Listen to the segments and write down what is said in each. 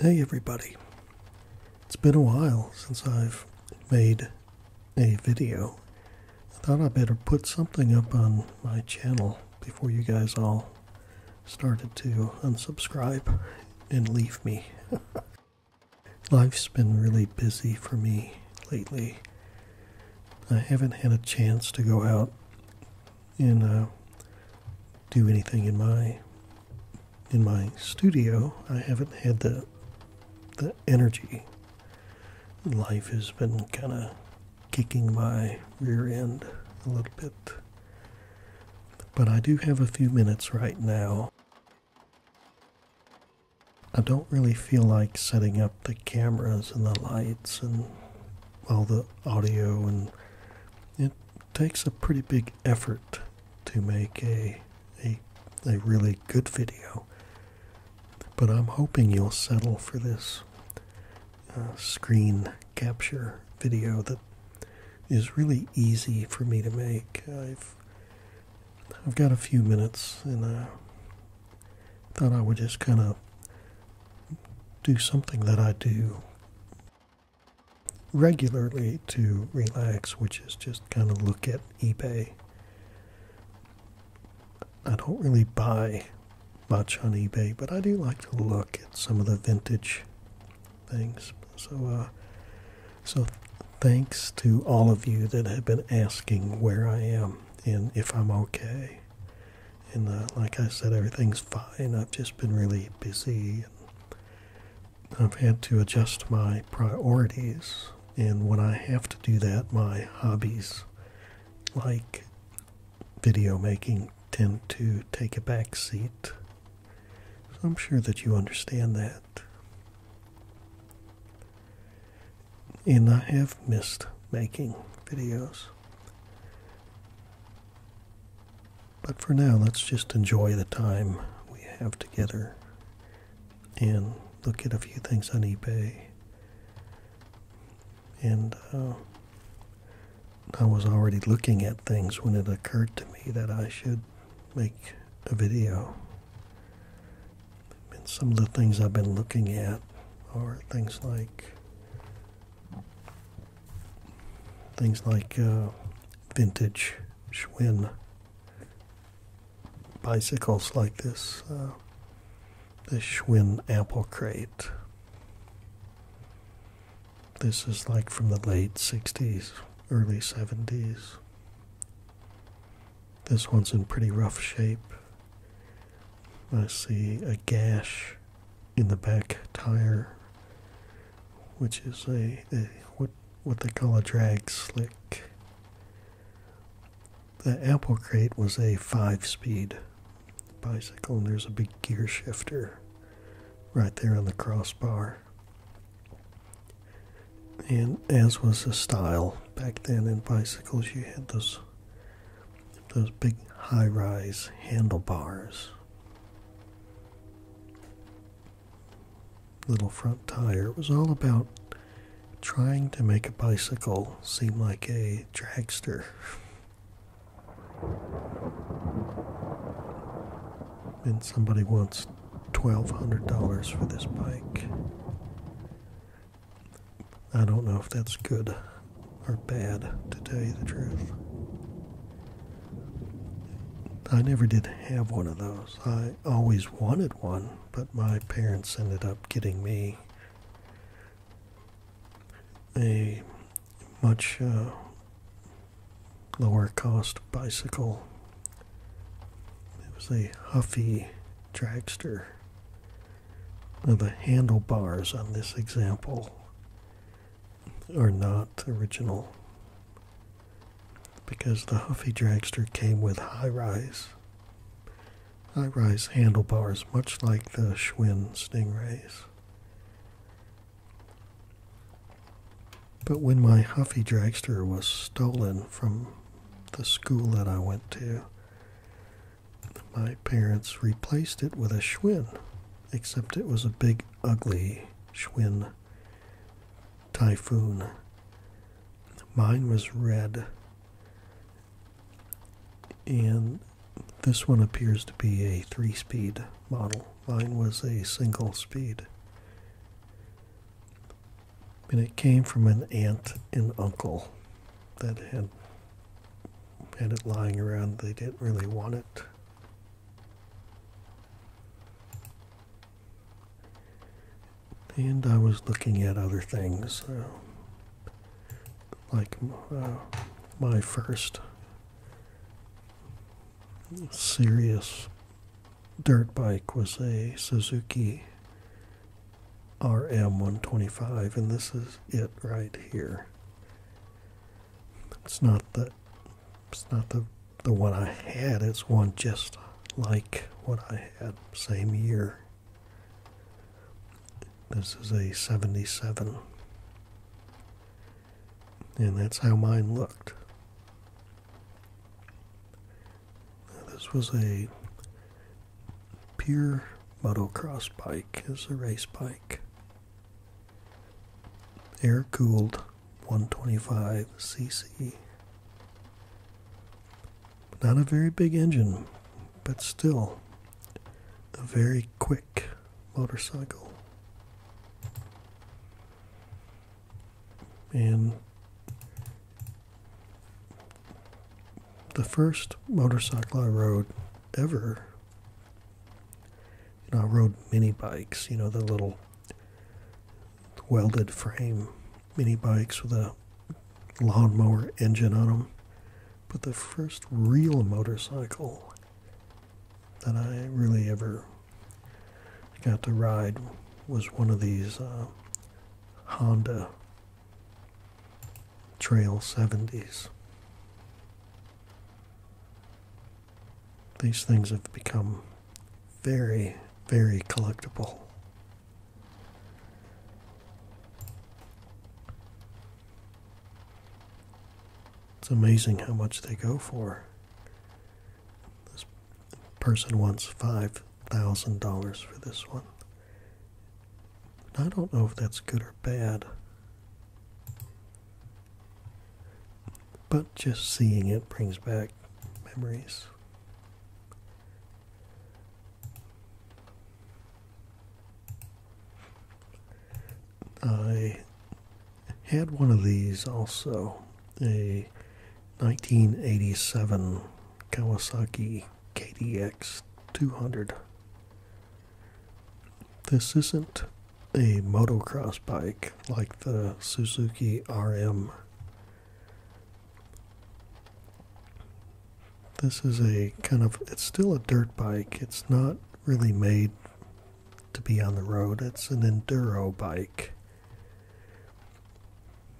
Hey everybody, it's been a while since I've made a video. I thought I better put something up on my channel before you guys all started to unsubscribe and leave me. Life's been really busy for me lately. I haven't had a chance to go out and uh, do anything in my in my studio. I haven't had the the energy. Life has been kind of kicking my rear end a little bit. But I do have a few minutes right now. I don't really feel like setting up the cameras and the lights and all the audio and it takes a pretty big effort to make a a a really good video. But I'm hoping you'll settle for this uh, screen capture video that is really easy for me to make. I've got a few minutes, and I thought I would just kind of do something that I do regularly to relax, which is just kind of look at eBay. I don't really buy much on eBay, but I do like to look at some of the vintage things. So uh, so thanks to all of you that have been asking where I am and if I'm okay. And uh, like I said, everything's fine. I've just been really busy. I've had to adjust my priorities. And when I have to do that, my hobbies, like video making, tend to take a back seat. So I'm sure that you understand that. And I have missed making videos. But for now, let's just enjoy the time we have together and look at a few things on eBay. And uh, I was already looking at things when it occurred to me that I should make a video and some of the things I've been looking at are things like things like uh, vintage Schwinn bicycles like this uh, this Schwinn apple crate. This is like from the late 60s, early 70s. This one's in pretty rough shape. I see a gash in the back tire, which is a, what what they call a drag slick. The apple crate was a five-speed bicycle, and there's a big gear shifter right there on the crossbar. And as was the style back then in bicycles, you had those those big high-rise handlebars, little front tire. It was all about trying to make a bicycle seem like a dragster. And somebody once $1,200 for this bike. I don't know if that's good or bad, to tell you the truth. I never did have one of those. I always wanted one, but my parents ended up getting me a much uh, lower cost bicycle it was a huffy dragster. Now the handlebars on this example are not original because the Huffy Dragster came with high rise. High rise handlebars, much like the Schwinn Stingrays. But when my Huffy dragster was stolen from the school that I went to, my parents replaced it with a Schwinn, except it was a big, ugly Schwinn Typhoon. Mine was red, and this one appears to be a three speed model. Mine was a single speed. And it came from an aunt and uncle that had had it lying around. They didn't really want it. And I was looking at other things, uh, like uh, my first serious dirt bike was a Suzuki RM125, and this is it right here. It's not the it's not the the one I had. It's one just like what I had same year. This is a 77. And that's how mine looked. Uh, this was a pure motocross bike. It's a race bike. Air cooled 125cc. Not a very big engine, but still a very quick motorcycle and the first motorcycle I rode ever. You I rode mini bikes. You know, the little welded frame mini bikes with a lawnmower engine on them. But the first real motorcycle that I really ever got to ride was one of these uh, Honda Trail 70s. These things have become very, very collectible. It's amazing how much they go for. This person wants five thousand dollars for this one. I don't know if that's good or bad. But just seeing it brings back memories. I had one of these also a 1987 Kawasaki KDX 200. This isn't a motocross bike like the Suzuki RM. This is a kind of, it's still a dirt bike. It's not really made to be on the road. It's an enduro bike.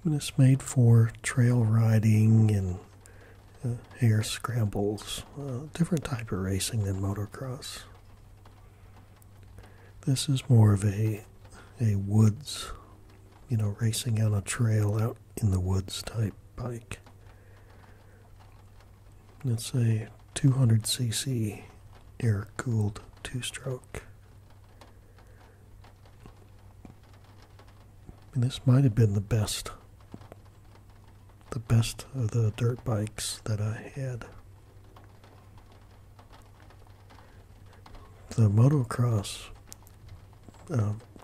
And it's made for trail riding and uh, air scrambles, uh, different type of racing than motocross. This is more of a a woods, you know, racing on a trail out in the woods type bike. It's a 200cc air cooled two stroke this might have been the best, the best of the dirt bikes that I had. The motocross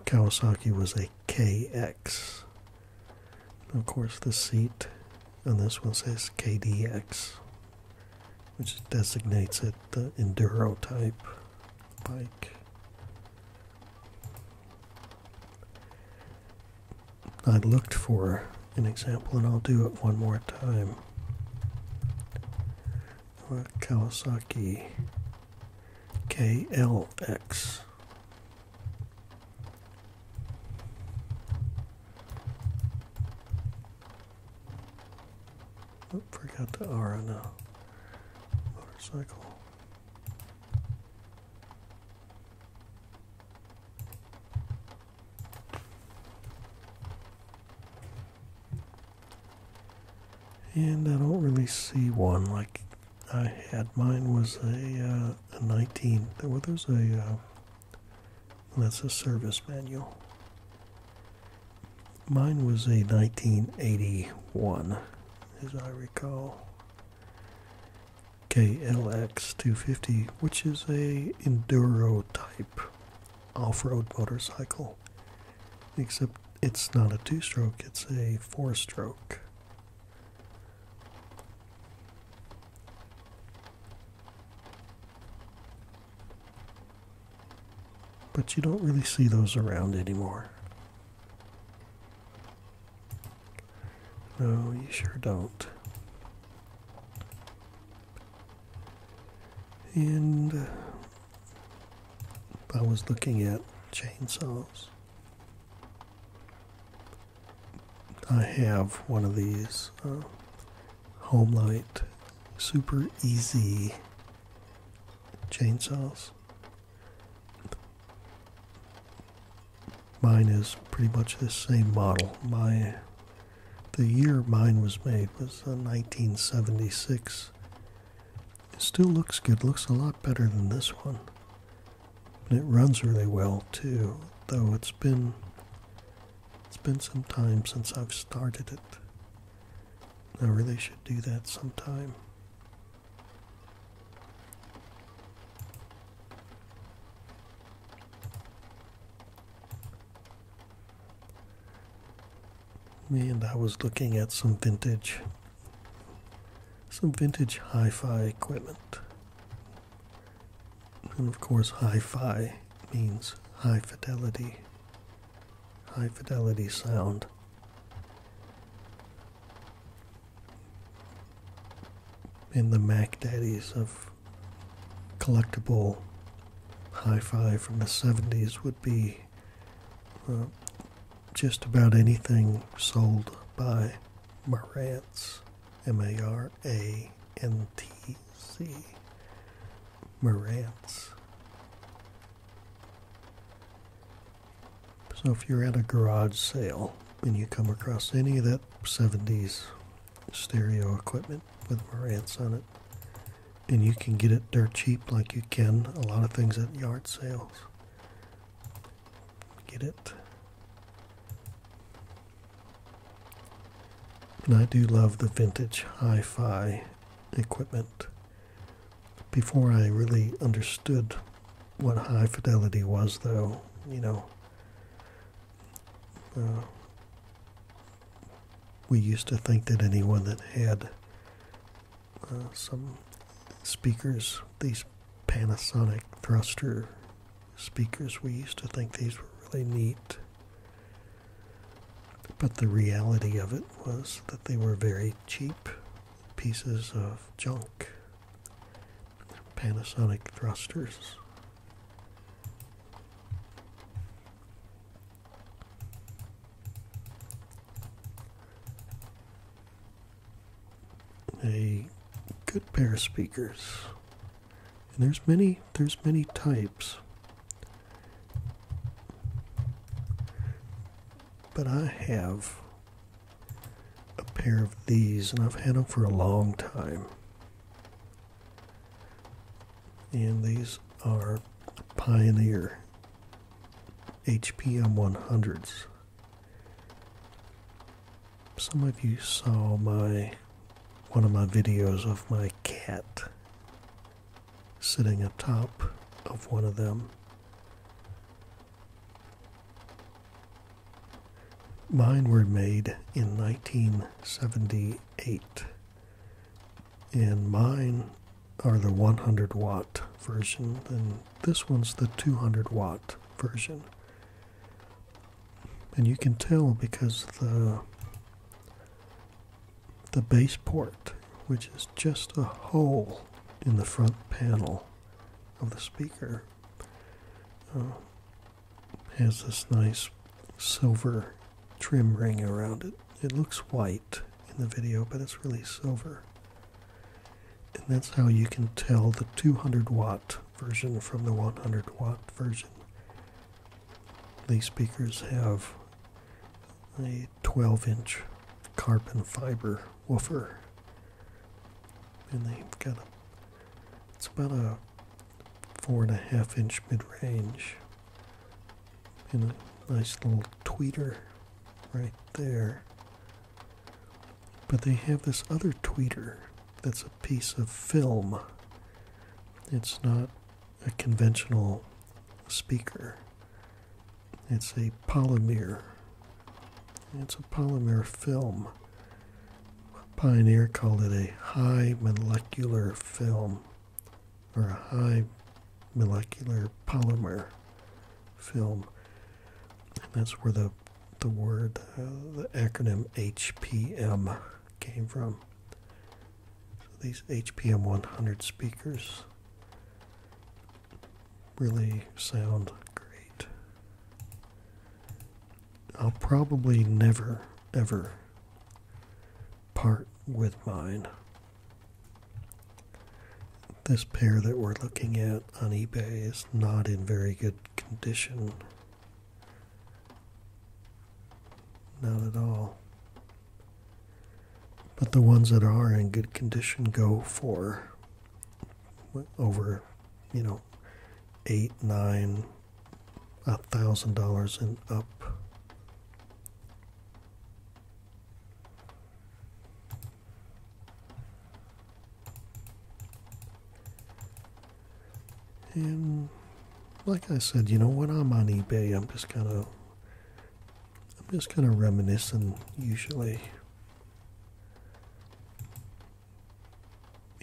Kawasaki was a KX. Of course, the seat and this one says KDX, which designates it the enduro type. I looked for an example and I'll do it one more time. Kawasaki KLX forgot the R on the motorcycle. And I don't really see one like I had. Mine was a, uh, a 19. There was a, uh, that's a service manual. Mine was a 1981, as I recall, KLX 250, which is a enduro type off-road motorcycle. Except it's not a two-stroke; it's a four-stroke. But you don't really see those around anymore. No, you sure don't. And uh, I was looking at chainsaws. I have one of these uh, Homelight Super Easy chainsaws. Mine is pretty much the same model. My the year mine was made was 1976. Uh, it still looks good. Looks a lot better than this one. it runs really well too, though it's been it's been some time since I've started it. I really should do that sometime. And I was looking at some vintage, some vintage hi-fi equipment. And of course, hi-fi means high fidelity high fidelity sound. In the Mac Daddies of collectible hi fi from the 70s would be uh, just about anything sold by Marantz, M A R A N T Z. Marantz. So if you're at a garage sale and you come across any of that 70s stereo equipment with Marantz on it, and you can get it dirt cheap like you can a lot of things at yard sales, get it. And I do love the vintage hi fi equipment. Before I really understood what high fidelity was, though, you know, uh, we used to think that anyone that had uh, some speakers, these Panasonic thruster speakers, we used to think these were really neat. But the reality of it was that they were very cheap pieces of junk. Panasonic thrusters. A good pair of speakers. And there's many there's many types but I have a pair of these and I've had them for a long time. And these are Pioneer HPM 100s. Some of you saw my one of my videos of my cat sitting atop of one of them. Mine were made in 1978, and mine are the 100 watt version, and this one's the 200 watt version. And you can tell because the the base port, which is just a hole in the front panel of the speaker, uh, has this nice silver trim ring around it. It looks white in the video, but it's really silver. And that's how you can tell the 200 watt version from the 100 watt version. These speakers have a 12 inch carbon fiber woofer. And they've got a, it's about a four and a half inch mid range. And a nice little tweeter right there. But they have this other tweeter that's a piece of film. It's not a conventional speaker. It's a polymer. It's a polymer film. Pioneer called it a high molecular film or a high molecular polymer film. that's where the, the word, uh, the acronym HPM came from. these HPM 100 speakers really sound great. I'll probably never, ever part with mine. This pair that we're looking at on eBay is not in very good condition. Not at all. But the ones that are in good condition go for over, you know, eight, nine, a thousand dollars and up. And like I said, you know, when I'm on eBay, I'm just kind of I'm just kind of reminiscing usually.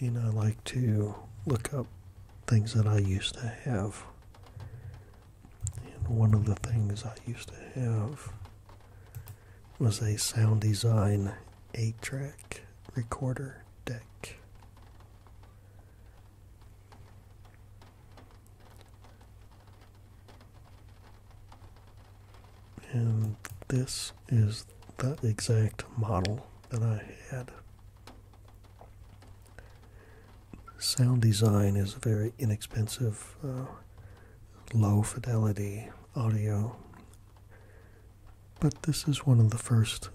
And I like to look up things that I used to have. And one of the things I used to have was a Sound Design 8 track recorder deck. And this is the exact model that I had. Sound design is a very inexpensive, uh, low fidelity audio. But this is one of the first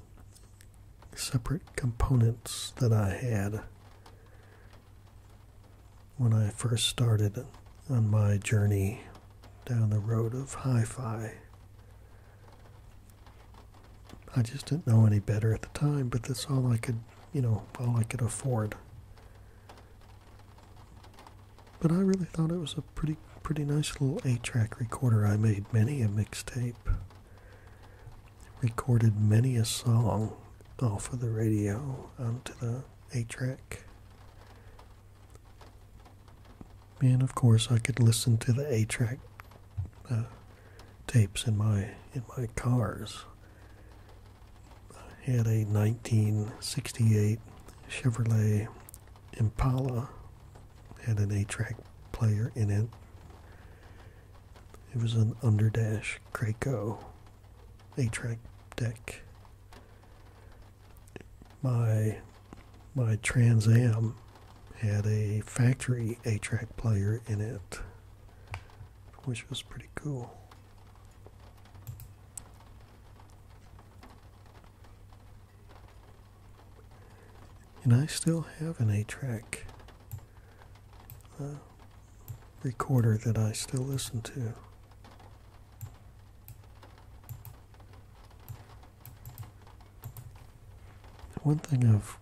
separate components that I had when I first started on my journey down the road of hi fi. I just didn't know any better at the time, but that's all I could, you know, all I could afford. But I really thought it was a pretty, pretty nice little 8 track recorder. I made many a mixtape, recorded many a song off of the radio onto the a track. And of course, I could listen to the A track uh, tapes in my in my cars. I had a 1968 Chevrolet Impala had an A track player in it. It was an underdash Craco a track deck. My my Trans Am had a factory A track player in it, which was pretty cool. And I still have an A track recorder that I still listen to. One thing I've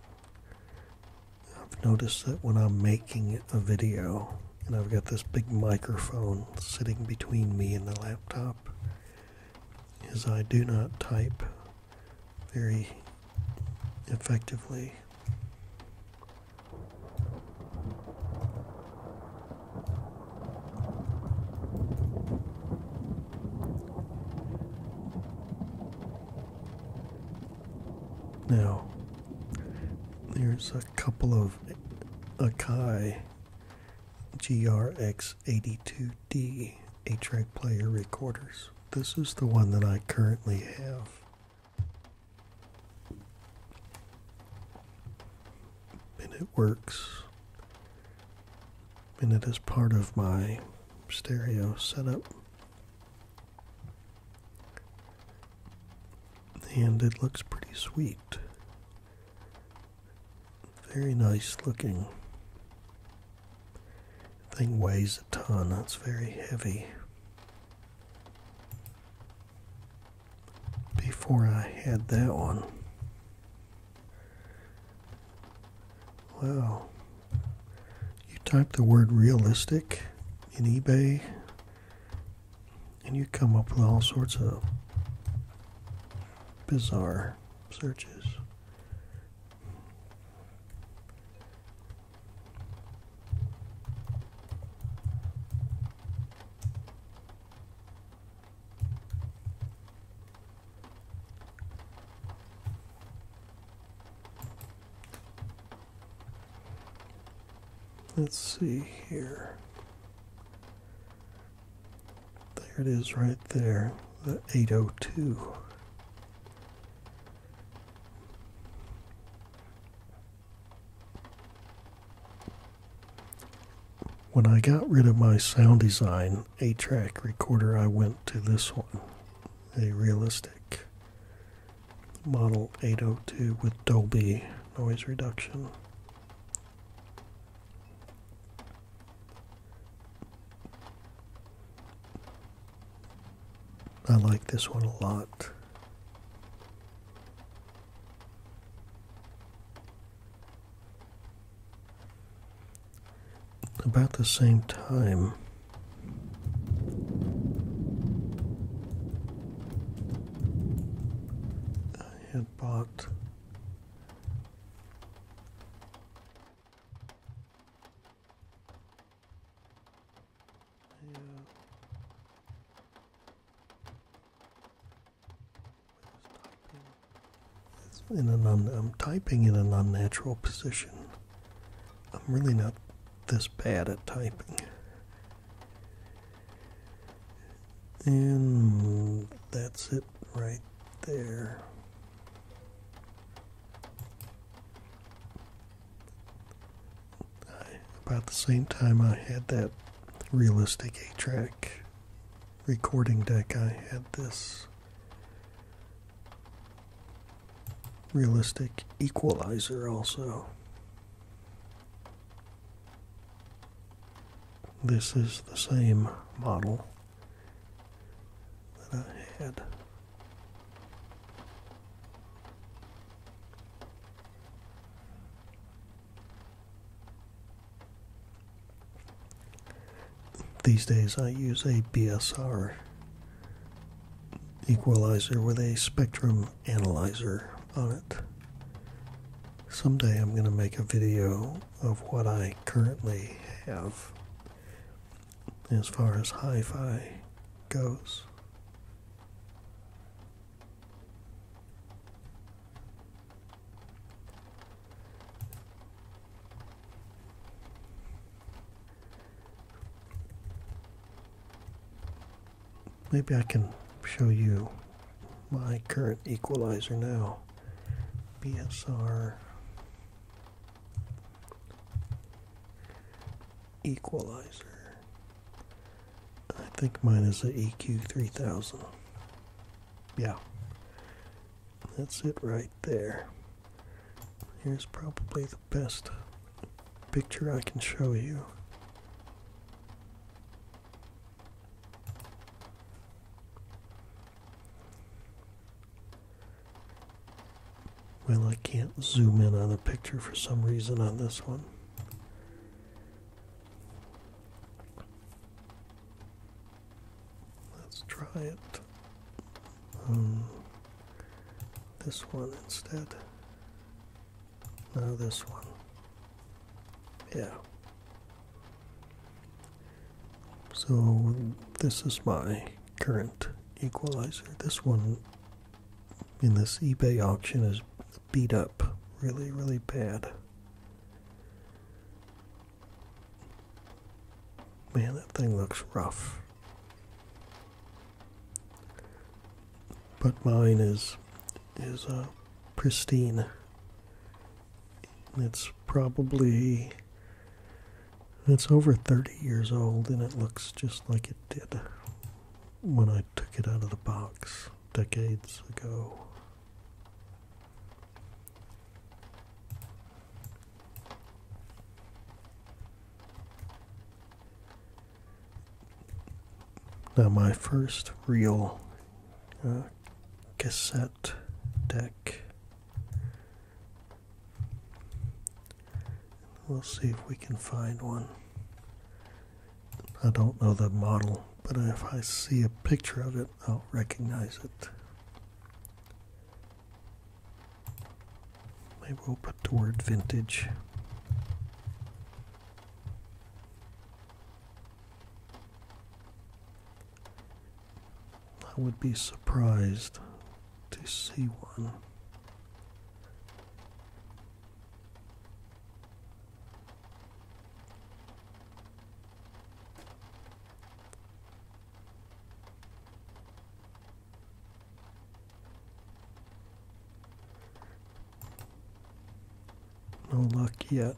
I've noticed that when I'm making a video and I've got this big microphone sitting between me and the laptop is I do not type very effectively. Now, there's a couple of Akai GRX82D 8 track player recorders. This is the one that I currently have and it works. And it is part of my stereo setup. And it looks pretty sweet. Very nice looking. Thing weighs a ton, that's very heavy before I had that one. Well, You type the word realistic in eBay and you come up with all sorts of bizarre searches. Let's see here. There it is right there, the 802. When I got rid of my sound design 8 track recorder, I went to this one, a realistic model 802 with Dolby noise reduction. I like this one a lot. About the same time, I had bought. I'm typing in an unnatural position. I'm really not this bad at typing. And that's it right there about the same time I had that realistic 8 track recording deck, I had this realistic equalizer also. This is the same model that I had. These days I use a BSR equalizer with a spectrum analyzer on it. Someday I'm going to make a video of what I currently have as far as hi fi goes. Maybe I can show you my current equalizer now. BSR equalizer. I think mine is the EQ 3000. Yeah. That's it right there. Here's probably the best picture I can show you. Well, I can't zoom in on the picture for some reason on this one. Let's try it. Um, this one instead. No, this one. Yeah. So this is my current equalizer. This one in this eBay auction is beat up really, really bad. Man, that thing looks rough. But mine is is uh, pristine. It's probably it's over 30 years old and it looks just like it did when I took it out of the box decades ago. Now, my first real uh, cassette deck. We'll see if we can find one. I don't know the model, but if I see a picture of it, I'll recognize it. Maybe we'll put the word vintage. I would be surprised to see one. No luck yet.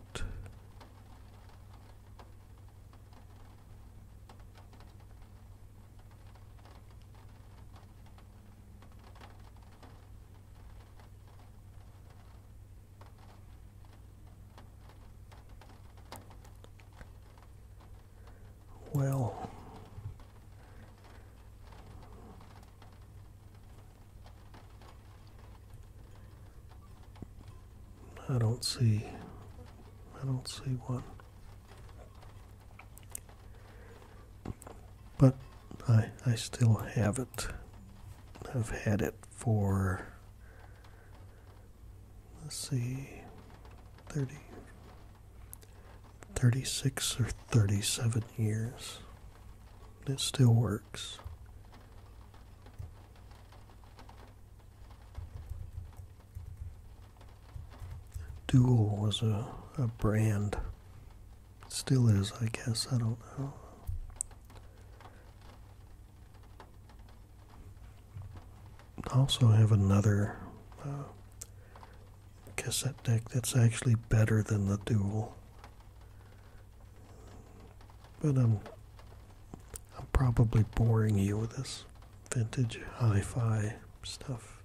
Well, I don't see, I don't see one. But I, I still have it. I've had it for, let's see, 30, 36 or 37 years. It still works. Dual was a, a brand Still is, I guess. I don't know. also have another uh, cassette deck that's actually better than the Dual. But I'm, I'm probably boring you with this vintage hi fi stuff.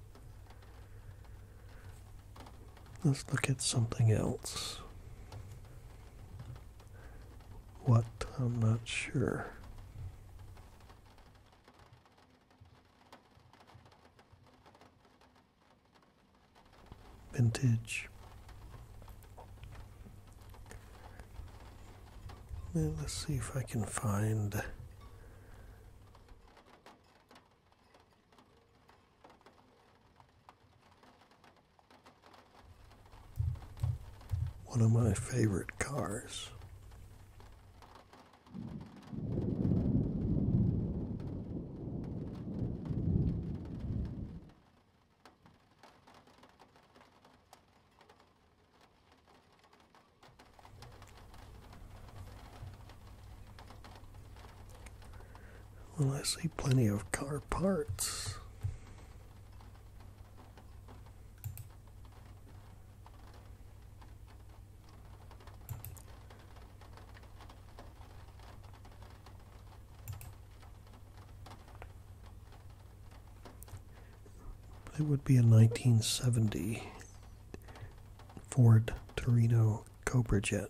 Let's look at something else. What? I'm not sure. Vintage. let's see if I can find. One of my favorite cars. Well, I see plenty of car parts. It would be a 1970 Ford Torino Cobra Jet.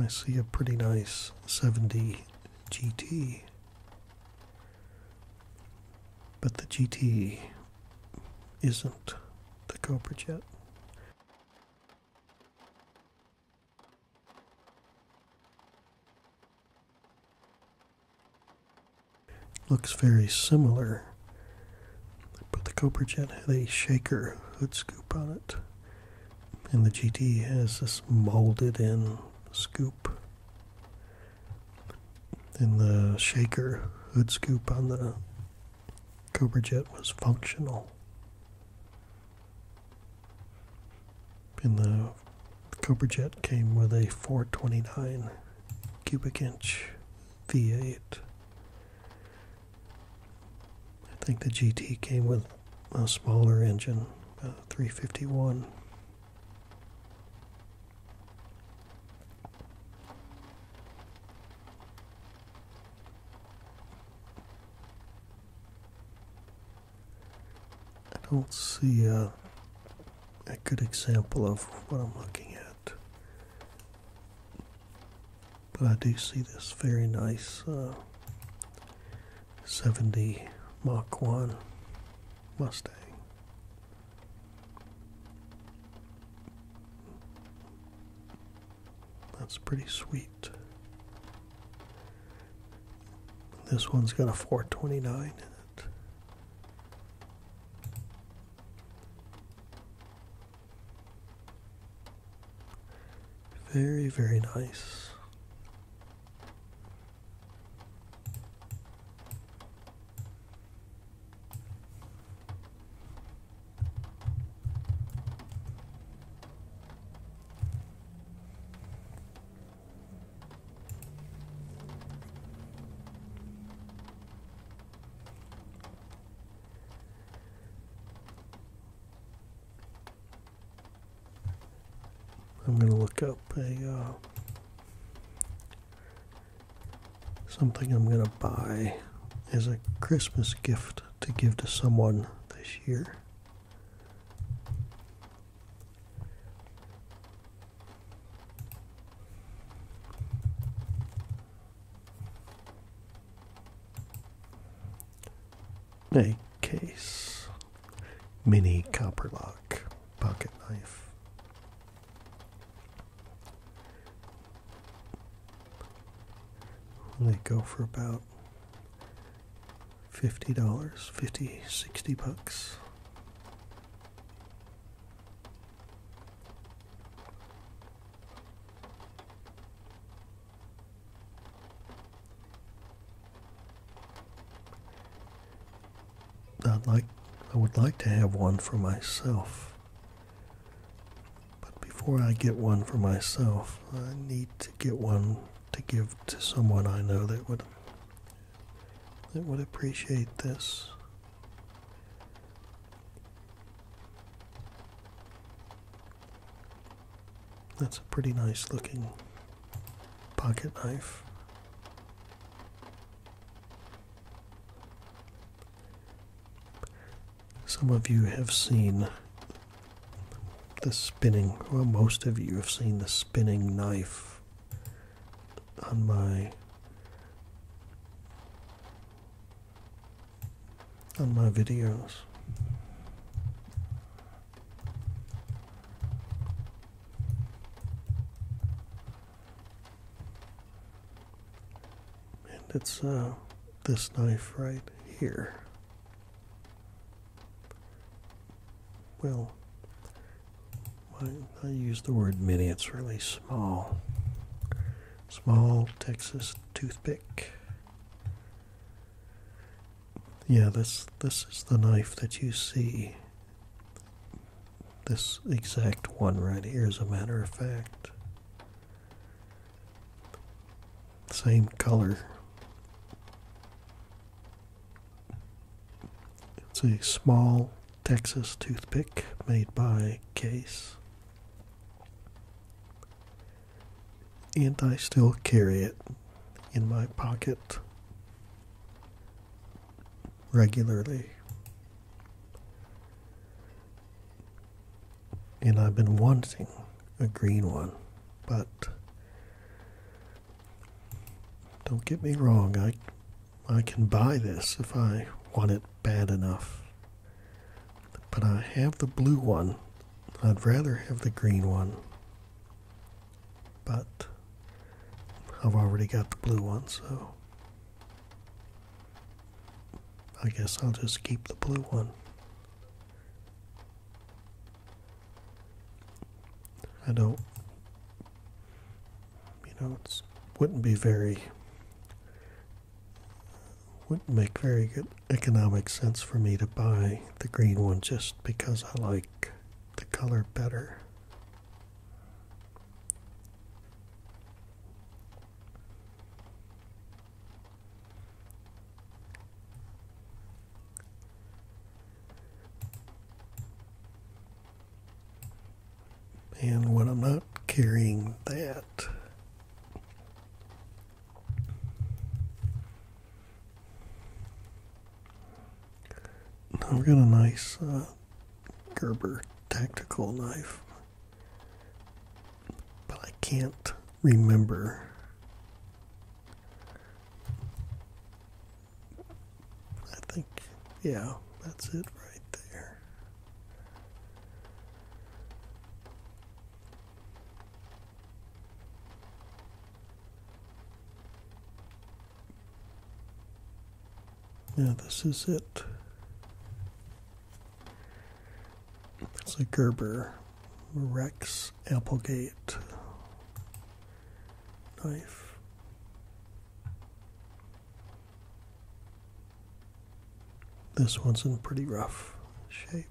I see a pretty nice 70 GT. But the GT isn't the Cobra Jet. Looks very similar, but the Cobra Jet had a shaker hood scoop on it, and the GT has this molded in scoop. And the shaker hood scoop on the Cobra Jet was functional. And the Cobra Jet came with a 429 cubic inch V8. I think the GT came with a smaller engine, 351. I don't see a good example of what I'm looking at. But I do see this very nice uh, 70 Mach 1 Mustang. That's pretty sweet. This one's got a 429 in it. Very, very nice. I'm going to look up a uh, something I'm going to buy as a Christmas gift to give to someone this year. A case. Mini copper lock. Pocket knife. They go for about fifty dollars, fifty, sixty bucks. I'd like, I would like to have one for myself. But before I get one for myself, I need to get one to give to someone I know that would that would appreciate this. That's a pretty nice looking pocket knife. Some of you have seen the spinning, well, most of you have seen the spinning knife on my on my videos. And it's uh, this knife right here. Well, I, I use the word mini, it's really small. Small Texas toothpick. Yeah, this this is the knife that you see. This exact one right here, as a matter of fact. Same color. It's a small Texas toothpick made by Case and I still carry it in my pocket regularly. And I've been wanting a green one, but don't get me wrong, I I can buy this if I want it bad enough. But I have the blue one. I'd rather have the green one. But I've already got the blue one, so I guess I'll just keep the blue one. I don't, you know, it wouldn't be very wouldn't make very good economic sense for me to buy the green one just because I like the color better and when I'm not carrying that I've got a nice uh, Gerber tactical knife but I can't remember I think yeah that's it right there now this is it. It's a Gerber Rex Applegate knife. This one's in pretty rough shape.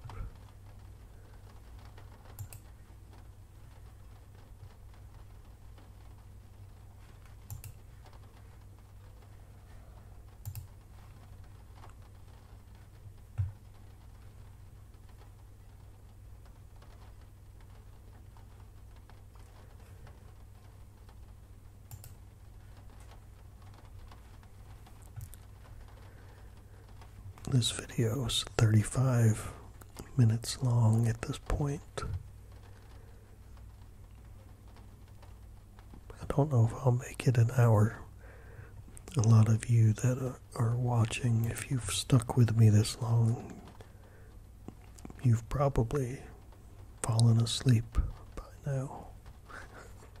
This video is 35 minutes long at this point. I don't know if I'll make it an hour. A lot of you that are watching, if you've stuck with me this long, you've probably fallen asleep by now.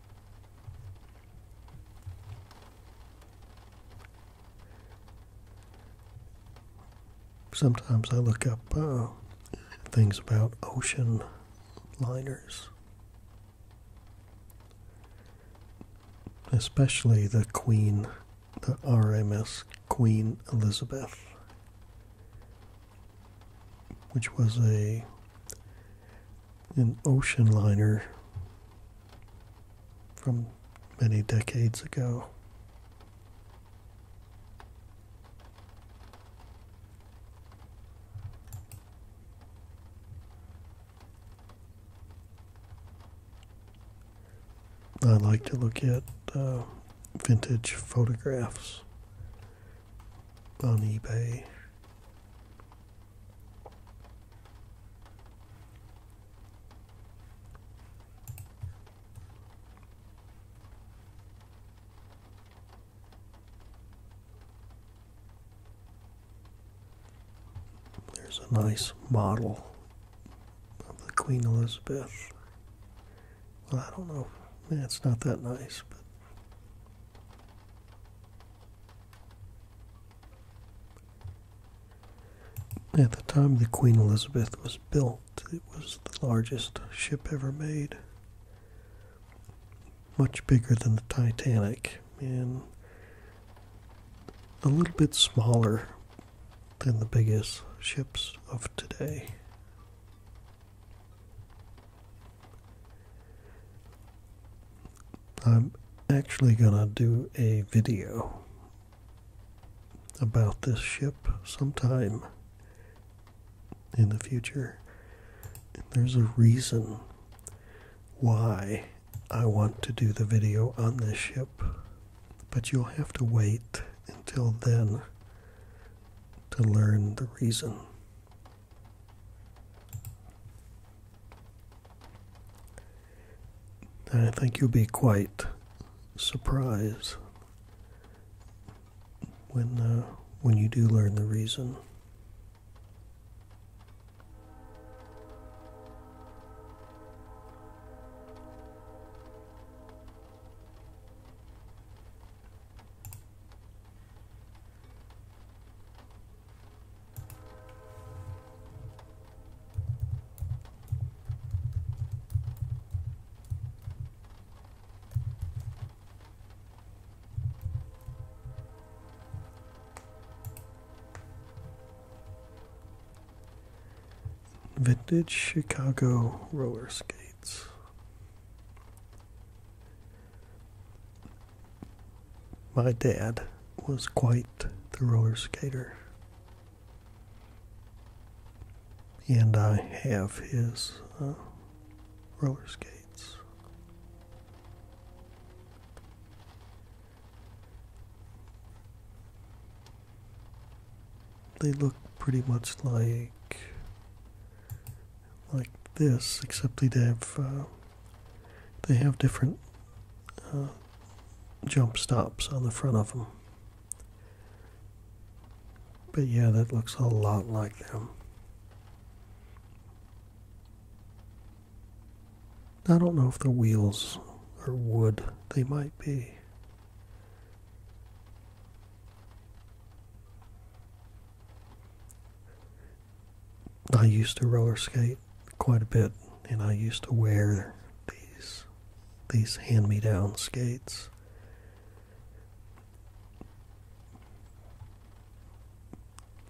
Sometimes I look up uh, things about ocean liners, especially the Queen, the RMS Queen Elizabeth, which was a an ocean liner from many decades ago. I like to look at uh, vintage photographs on eBay. There's a nice model of the Queen Elizabeth. Well, I don't know. It's not that nice, at the time the Queen Elizabeth was built, it was the largest ship ever made, much bigger than the Titanic, and a little bit smaller than the biggest ships of today. I'm actually going to do a video about this ship sometime in the future. there's a reason why I want to do the video on this ship, but you'll have to wait until then to learn the reason. I think you'll be quite surprised when uh, when you do learn the reason. Vintage Chicago roller skates. My dad was quite the roller skater. And I have his uh, roller skates. They look pretty much like like this, except they have uh, they have different uh, jump stops on the front of them. But yeah, that looks a lot like them. I don't know if the wheels are wood. They might be. I used to roller skate quite a bit, and I used to wear these these hand-me-down skates.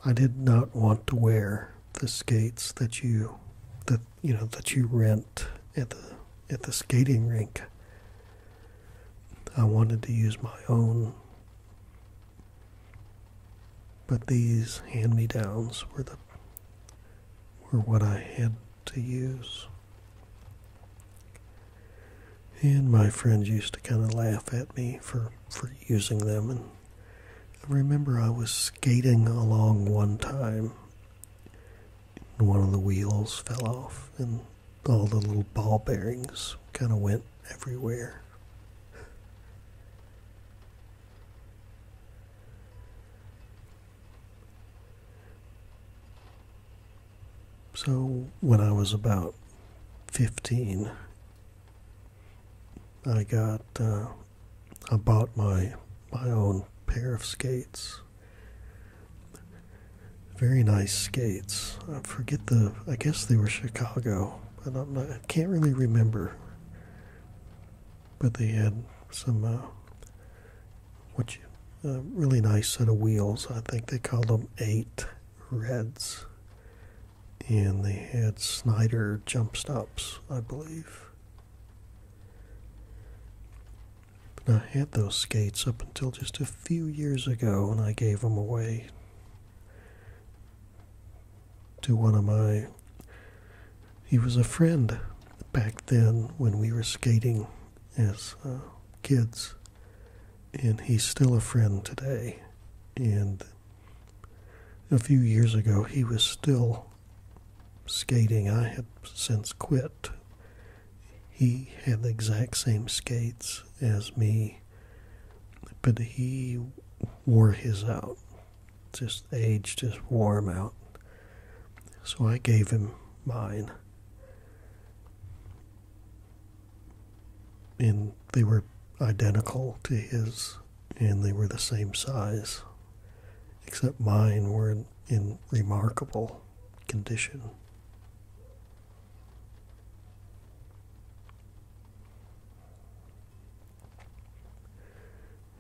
I did not want to wear the skates that you that you know that you rent at the at the skating rink. I wanted to use my own but these hand-me-downs were the were what I had to use. And my friends used to kind of laugh at me for, for using them. And I remember I was skating along one time, one of the wheels fell off, and all the little ball bearings kind of went everywhere. So, when I was about 15, I got, uh, I bought my, my own pair of skates. Very nice skates. I forget the, I guess they were Chicago, but I'm not, I can't really remember but they had some uh, what uh, really nice set of wheels. I think they called them eight reds, and they had Snyder jump stops, I believe. And I had those skates up until just a few years ago, and I gave them away to one of my. He was a friend back then when we were skating as uh, kids, and he's still a friend today. And a few years ago, he was still skating. I had since quit. He had the exact same skates as me, but he wore his out just age just wore him out. So I gave him mine. And they were identical to his, and they were the same size, except mine were in remarkable condition.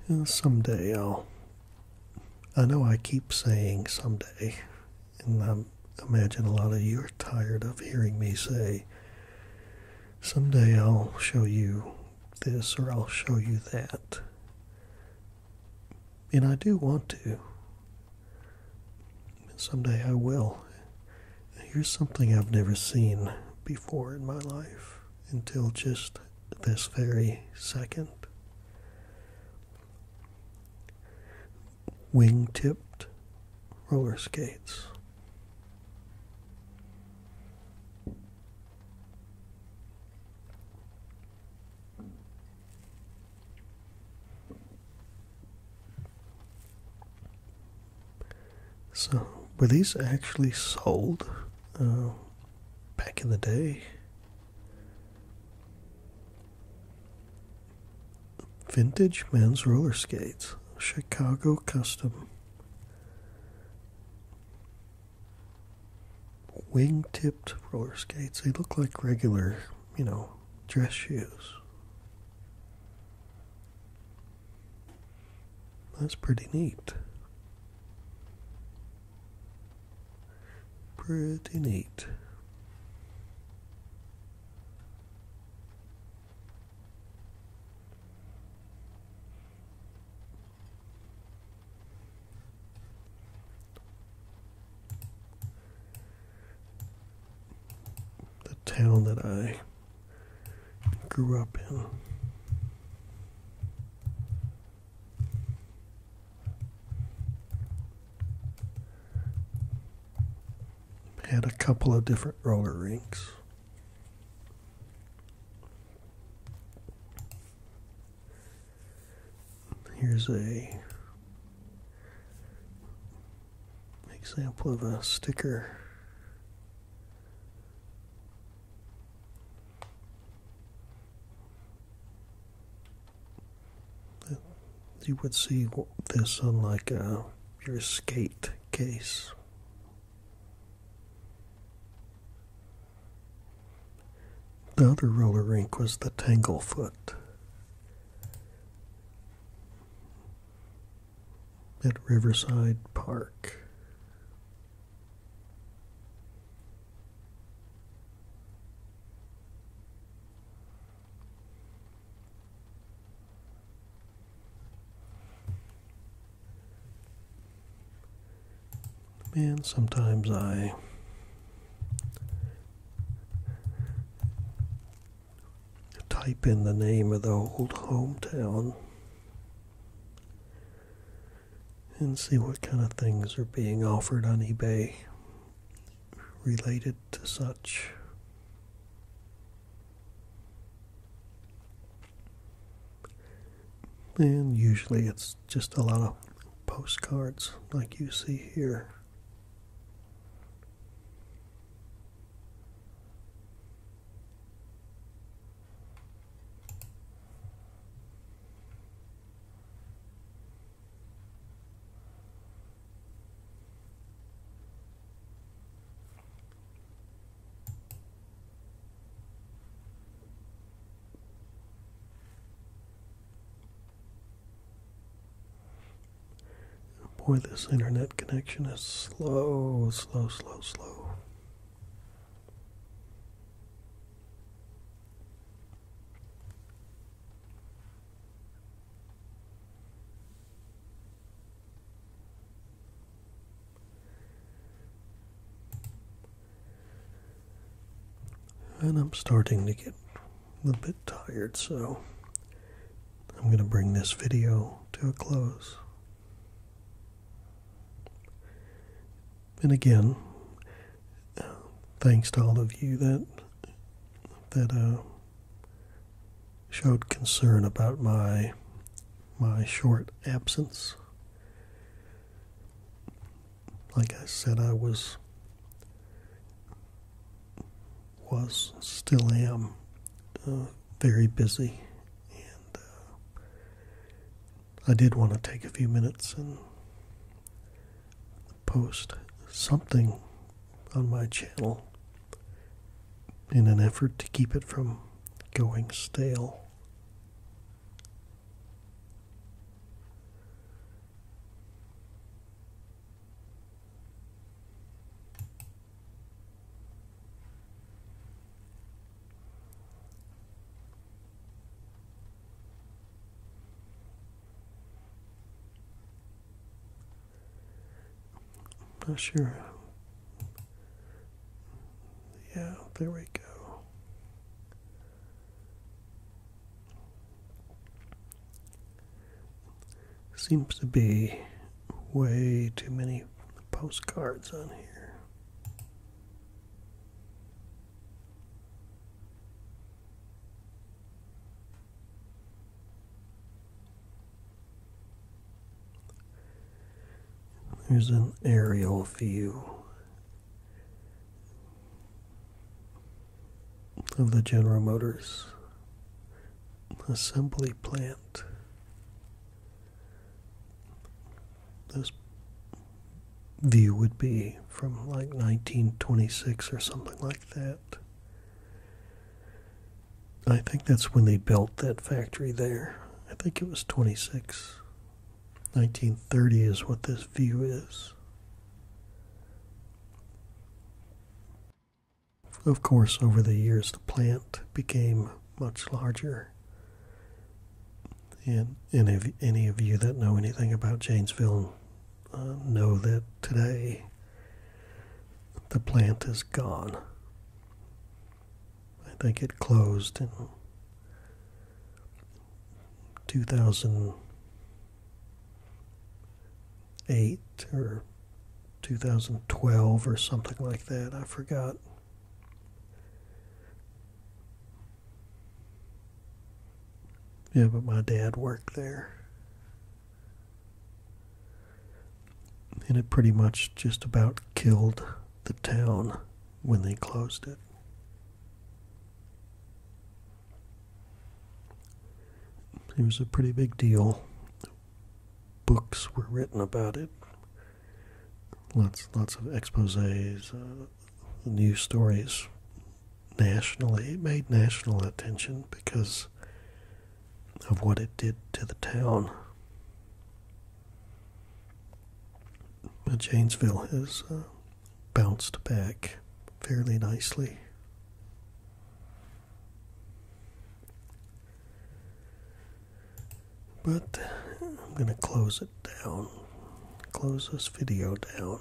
And someday I'll. I know I keep saying someday, and I imagine a lot of you are tired of hearing me say, someday I'll show you this or I'll show you that. And I do want to. Someday I will. Here's something I've never seen before in my life until just this very second. Wing tipped roller skates. So, were these actually sold uh, back in the day? Vintage men's roller skates, Chicago custom. Wing tipped roller skates. They look like regular, you know, dress shoes. That's pretty neat. Pretty neat. The town that I grew up in. Had a couple of different roller rinks. Here's a example of a sticker you would see this on like uh, your skate case. The other roller rink was the Tanglefoot at Riverside Park. And sometimes I type in the name of the old hometown and see what kind of things are being offered on eBay related to such. And usually it's just a lot of postcards like you see here. Boy, this internet connection is slow, slow, slow, slow. And I'm starting to get a bit tired, so I'm going to bring this video to a close. And again, thanks to all of you that that uh, showed concern about my my short absence. Like I said, I was was still am uh, very busy, uh, I did want to take a few minutes and post something on my channel in an effort to keep it from going stale not sure. Yeah, there we go. Seems to be way too many postcards on here. There's an aerial view of the General Motors assembly plant. This view would be from like 1926 or something like that. I think that's when they built that factory there. I think it was 26. 1930 is what this view is. Of course, over the years, the plant became much larger and any of, you that know anything about Janesville uh, know that today the plant is gone. I think it closed in 2008 or 2012 or something like that. I forgot. Yeah, but my dad worked there. And it pretty much just about killed the town when they closed it. It was a pretty big deal. Books were written about it. Lots, lots of exposés, uh, new stories nationally. made national attention because of what it did to the town. But Janesville has uh, bounced back fairly nicely. But I'm going to close it down. Close this video down.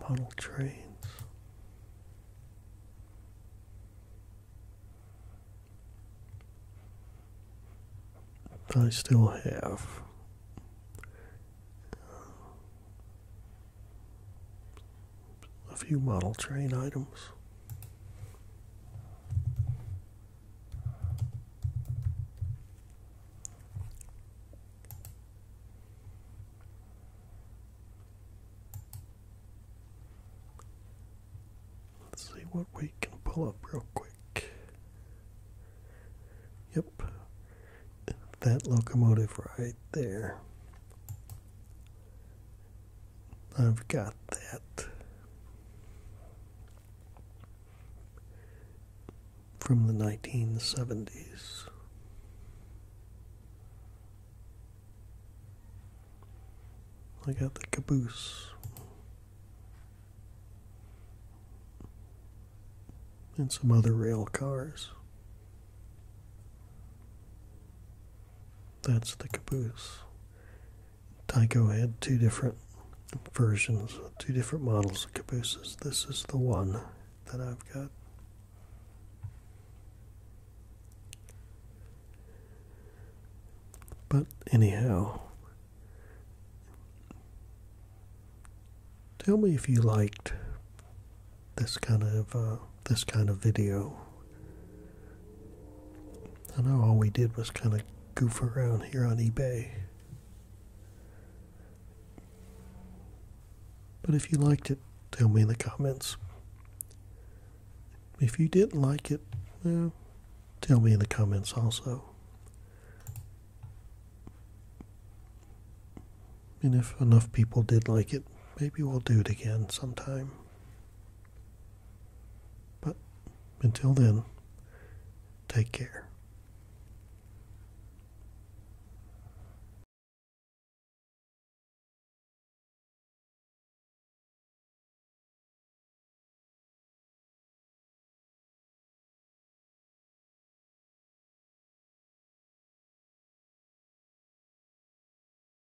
Model trains. I still have uh, a few model train items. Let's see what we can pull up real quick. Yep, that locomotive right there I've got that from the 1970s. I got the caboose. And some other rail cars. That's the caboose. Tyco had two different versions, two different models of cabooses. This is the one that I've got. But anyhow, tell me if you liked this kind of uh, this kind of video. I know all we did was kind of goof around here on eBay. But if you liked it, tell me in the comments. If you didn't like it, tell me in the comments also. And if enough people did like it, maybe we'll do it again sometime. But until then, take care.